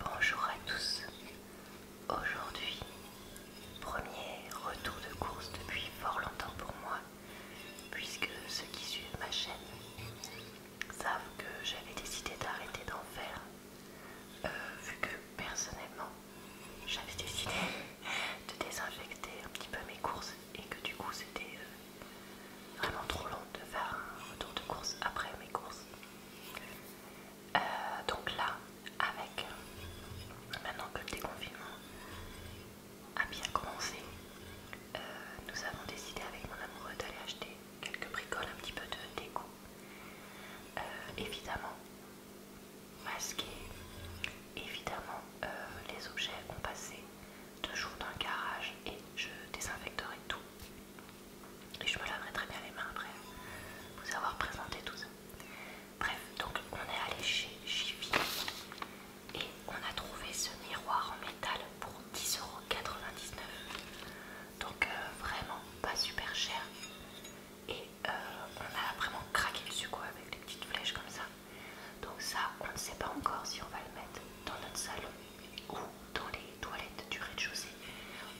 Bonjour à tous. Aujourd'hui, premier retour de course depuis fort longtemps pour moi, puisque ceux qui suivent ma chaîne savent que j'avais décidé d'arrêter d'en faire, euh, vu que personnellement, j'avais décidé de désinfecter un petit peu mes courses et que du coup c'était euh, vraiment trop long de faire un retour de course après mes courses. Euh, donc là, avec maintenant que le déconfinement a bien commencé, euh, nous avons décidé avec mon amoureux d'aller acheter quelques bricoles, un petit peu de déco. Euh, évidemment, masqué, évidemment, les objets ont passé deux jours dans le garage et je désinfecterai tout. Et je me laverai très bien les mains après vous avoir présenté tout ça. Bref, donc on est allé chez Jiffy et on a trouvé ce miroir en métal pour 10,99€. Donc euh, vraiment pas super cher. Et euh, on a vraiment craqué dessus quoi avec les petites flèches comme ça. Donc ça, on ne sait pas encore si on va le mettre dans notre salon ou dans les toilettes du rez-de-chaussée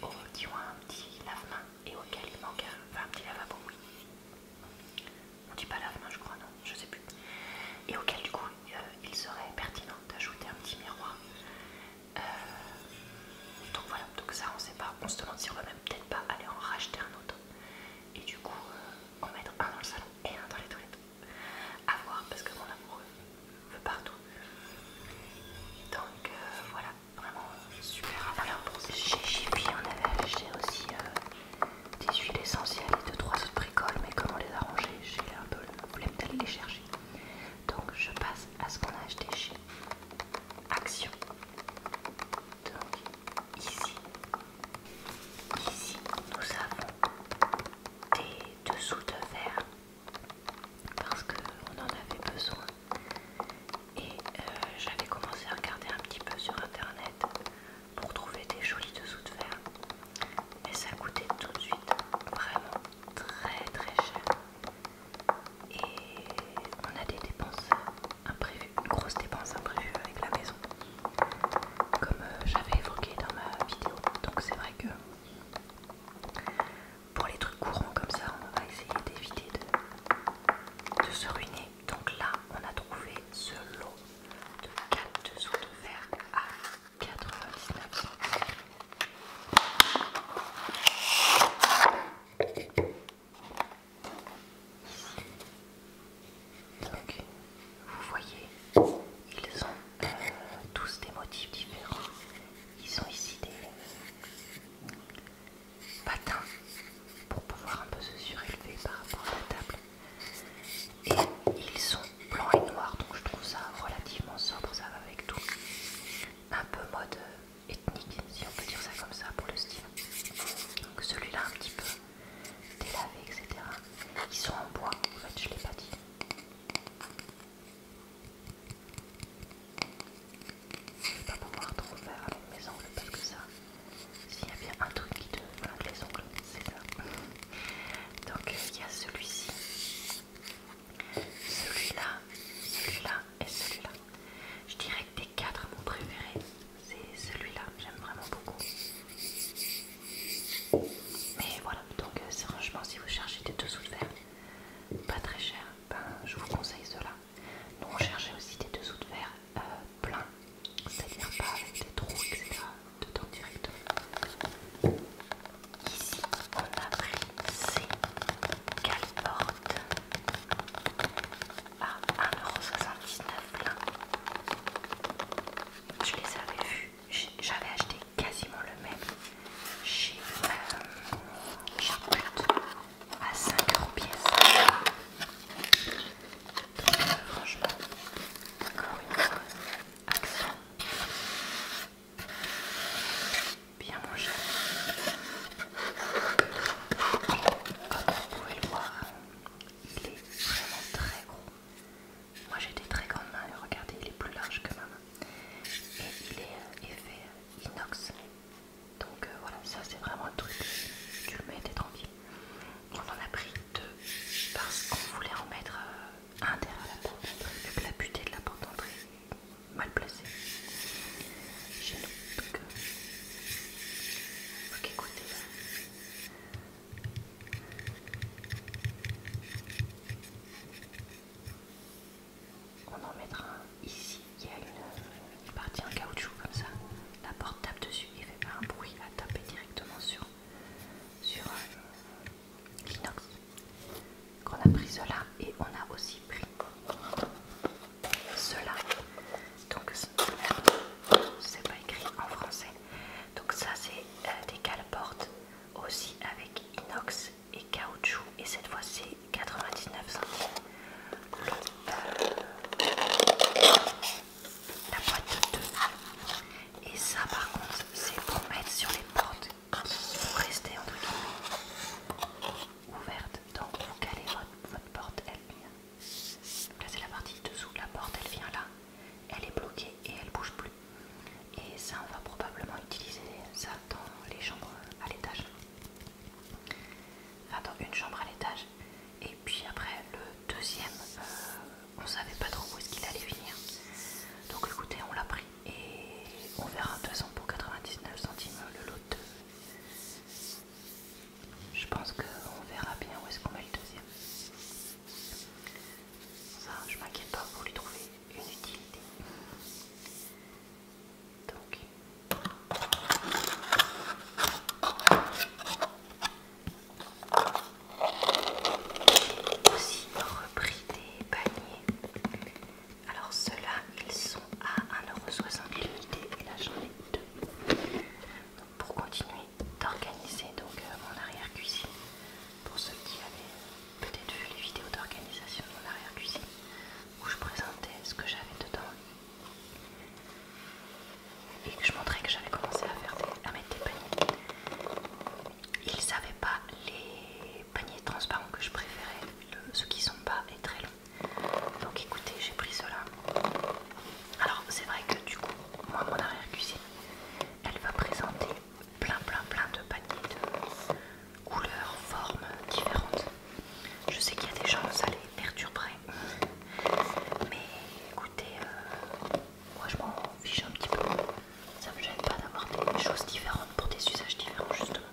au qui un petit lave-main et auquel il manque un, petit lavabo, oui. On dit pas lave je crois, non, je sais plus. Et auquel, du coup, euh, il serait pertinent d'ajouter un petit miroir. Euh, donc voilà, donc ça, on sait pas. On se demande si on va même peut-être pas aller en racheter un autre et du coup euh, en mettre un dans le salon et un dans les toilettes à voir parce que mon amoureux veut partout. Donc euh, voilà, vraiment super Alors chez Jiffy on avait acheté aussi euh, des huiles essentielles et 2-3 autres bricoles, mais comment les arranger j'ai un peu le problème d'aller les chercher. Donc je passe à ce qu'on a acheté chez Action. Donc ici, ici nous avons des dessous de verre parce qu'on en avait besoin et euh, j'avais commencé à regarder un petit peu sur internet pour trouver des jolis dessous de fer mais ça coûtait tout de suite vraiment très très cher et on a des dépenses imprévues, une grosse dépense imprévue avec la maison comme euh, j'avais évoqué dans ma vidéo donc c'est vrai que pour les trucs courants comme ça, on va essayer d'éviter de, se ruiner. Donc là, on a trouvé ce lot de 4 dessous de verre à 99 Donc, vous voyez, ils ont tous des motifs différents. Ils ont ici des patins pour pouvoir un peu se surélever par rapport à la table. Et ils sont blancs et noirs, donc je trouve ça relativement sobre, ça va avec tout. Un peu mode euh, ethnique, si on peut dire ça comme ça, pour le style. Donc celui-là un petit peu délavé, etc. Ils sont en bois, en fait, je l'ai pas dit. Je ne vais pas pouvoir trop faire avec mes ongles parce que ça, s'il y a bien un truc qui te avec les ongles, c'est ça. Donc il y a celui-ci, celui-là, celui-là et celui-là. Je dirais que des quatre, mon préféré, c'est celui-là. J'aime vraiment beaucoup. Mais voilà, donc euh, c'est franchement si vous cherchez des dessous de verre pas très chers, ben, je vous conseille cela. Nous on cherchait aussi des dessous de verre euh, pleins, c'est-à-dire pas avec des trous, etc. dedans directement. Ici on a pris ces caliportes à 1,79€ plein. Je les avais vus j'avais acheté quasiment le même chez euh, à 5 euros pièce. Donc, euh, franchement, encore une fois, accent bien mangé. Comme vous pouvez le voir, il est vraiment très gros. Moi j'ai des très grandes mains et regardez, il est plus large que ma main. Et il est effet euh, euh, inox. Donc euh, voilà, ça c'est vraiment le truc. Tu le mets, t'es tranquille. On en a pris deux parce qu'on voulait en mettre un derrière la porte d'entrée, vu la butée de la porte d'entrée est mal placée chez nous. Donc, faut écoutez, on en mettra un ici, il, y a une, partie en caoutchouc comme ça. La porte tape dessus et fait pas un bruit à taper directement sur, sur Donc euh, l'inox qu'on a pris cela et on a aussi pris cela donc c'est pas écrit en français donc ça c'est euh, des des portes aussi avec inox et caoutchouc et cette fois c'est 99 centimes. Euh, la boîte de 2. Et ça par contre c'est pour mettre sur les portes pour rester entre guillemets ouvertes. Donc vous calez votre, porte, elle vient. Là c'est la partie dessous, la porte elle vient là elle est bloquée et elle bouge plus. Et ça, on va probablement utiliser ça dans les chambres à l'étage. Enfin, dans une chambre à l'étage. Et puis après, le deuxième, euh, on savait pas trop où est-ce qu'il allait finir. Donc écoutez, on l'a pris et on verra de pour 99 centimes le lot de... Je pense qu'on verra bien où est-ce qu'on met le deuxième. Ça, je m'inquiète pas pour lui trouver une utilité. Donc, aussi repris des paniers. Alors ceux-là, ils sont à 1,60€ et là j'en ai deux pour continuer d'organiser donc euh, mon arrière-cuisine. Pour ceux qui avaient peut-être vu les vidéos d'organisation de mon arrière-cuisine où je présentais ce que j'avais dedans et que je montrais que j'avais commencé à, faire mettre des paniers. Ils savaient pas les paniers transparents que je préférais, ceux qui sont bas et très longs. Donc écoutez, j'ai pris cela. Alors c'est vrai que du coup, moi mon arrière-cuisine, elle va présenter plein plein plein de paniers de couleurs, formes différentes. Je sais qu'il y a des gens, ça les perturberait, mais écoutez, euh, moi je m'en fiche un petit peu. Ça me gêne pas d'avoir des choses différentes pour des usages différents justement.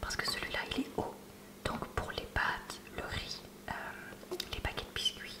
Parce que celui-là il est haut. Donc pour les pâtes, le riz, euh, les paquets de biscuits,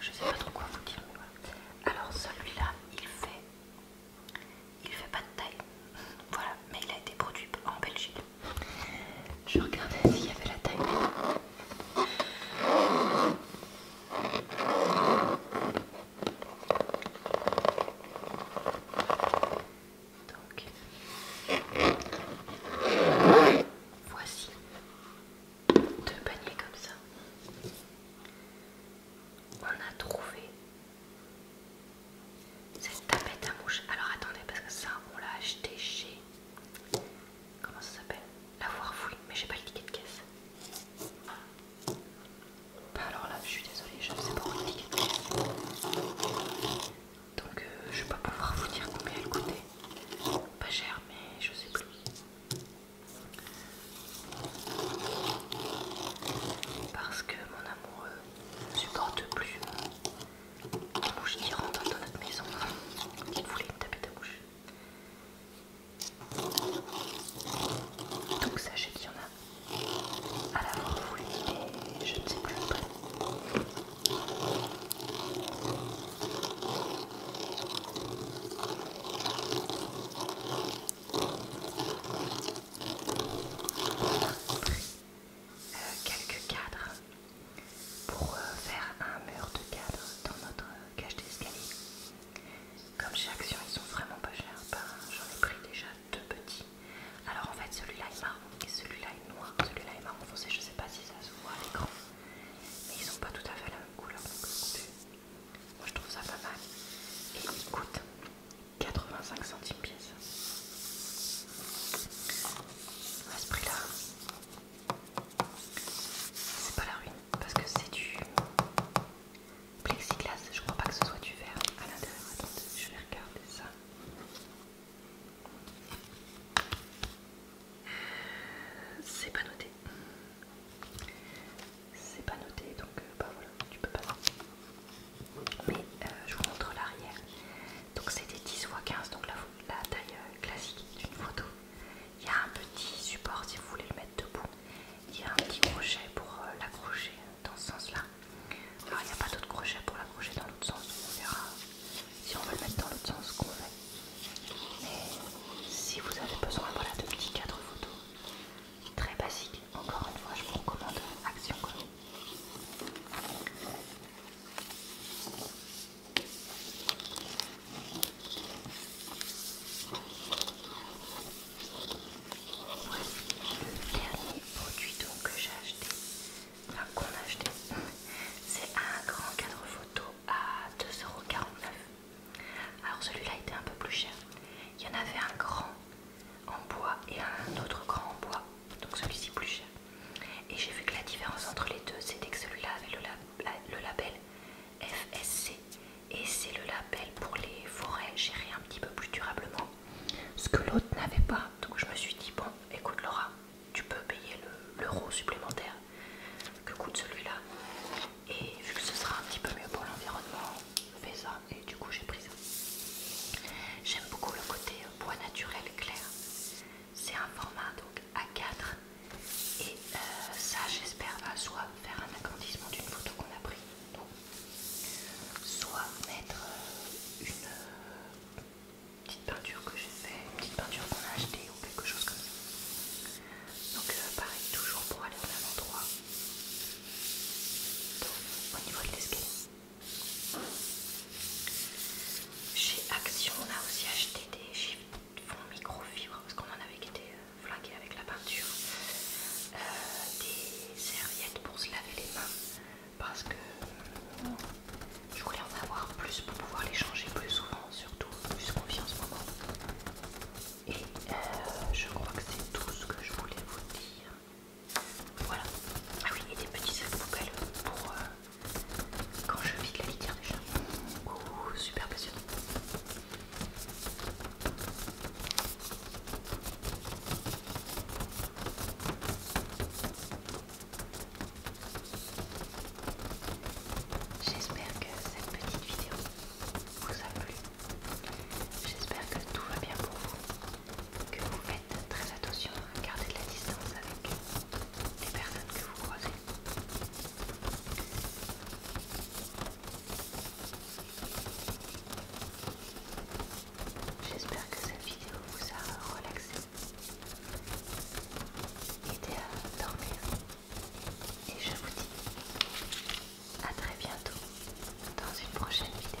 je sais pas trop quoi vous dire. Alors celui-là, il fait, il fait pas de taille, voilà, mais il a été produit en Belgique. Je regardais s'il y avait la taille. voici deux panier comme ça. On a trouvé cette tapette à mouche. Alors attendez, parce que ça, on l'a acheté chez. Comment ça s'appelle La fouillé, mais j'ai pas le ticket de caisse. Bah alors là, je suis désolée, je ne sais pas où le ticket de caisse. Donc euh, je vais pas pouvoir vous dire combien elle coûtait. Pas cher, mais je sais plus. Parce que mon amoureux ne supporte plus la bouche qui rentre dans notre maison. Il voulait me taper ta bouche. Donc sachez qu'il y en a à l'avoir voulu et je ne sais plus après pris euh, quelques cadres pour euh, faire un mur de cadres dans notre euh, cage d'escalier. Comme chez Action, ils sont vraiment pas chers. Ben, j'en ai pris déjà deux petits. Alors en fait, celui-là est marron et celui-là est noir. Celui-là est marron foncé. Je sais pas si ça se voit à l'écran, mais ils sont pas tout à fait la couleur donc Moi je trouve ça pas mal. Et il coûte 85 centimes pièce. À ce prix-là, c'est pas la ruine parce que c'est du plexiglas. Je crois pas que ce soit du verre à l'intérieur. Attendez, je vais regarder ça. C'est pas noté. C'est pas noté donc euh, bah voilà, tu peux pas. Mais euh, je vous montre l'arrière. Donc c'était 10 x 15, donc la, taille euh, classique d'une photo. Il y a un petit support si vous voulez le mettre debout. Il y a un petit crochet pour l'accrocher dans ce sens-là. Alors il n'y a pas d'autre crochet pour l'accrocher dans l'autre sens, on verra si on veut le mettre dans l'autre sens, qu'on fait. Mais si vous avez besoin de petits cadres photos, très basiques, encore une fois, je vous recommande Action quoi. Voici le dernier produit que j'ai acheté, enfin qu'on a acheté, c'est un grand cadre photo à 2,49€. Alors celui-là était un peu plus cher. Il y en avait un grand en bois et un autre grand en bois, donc celui-ci plus cher. Et j'ai vu que la différence entre les deux, c'était que celui-là avait le, label FSC et c'est le label pour les forêts gérées un petit peu plus durablement, ce que l'autre n'avait pas. Donc je me suis dit, bon, écoute Laura, tu peux payer l'euro supplémentaire que coûte celui-là. Et vu que ce sera un petit peu mieux pour l'environnement, fais ça. Et du coup, j'ai pris ça. J'aime beaucoup le côté euh, bois naturel clair. C'est un format donc A4. Et euh, ça, j'espère, va soit faire un agrandissement d'une photo qu'on a prise, soit mettre euh, une petite peinture que j'ai fait, une petite peinture qu'on a achetée ou quelque chose comme ça. Donc euh, pareil, toujours pour aller au même endroit. au niveau de l'escalier. Chez Action, on a aussi acheté des fonds microfibres, parce qu'on en avait été euh, flingués avec la peinture. Euh, des serviettes pour se laver les mains parce que je voulais en avoir plus pour pouvoir les changer plus souvent, surtout plus confiance en ce moment. Et euh, je crois que c'est tout ce que je voulais vous dire. Voilà. Ah oui, et des petits sacs poubelles pour euh, quand je vide la litière déjà. Ouh, super passionnant. J'espère que cette petite vidéo vous a plu. J'espère que tout va bien pour vous, que vous faites très attention à garder de la distance avec les personnes que vous croisez. J'espère que cette vidéo vous a relaxé Aidez à dormir. Et je vous dis à très bientôt dans une prochaine vidéo.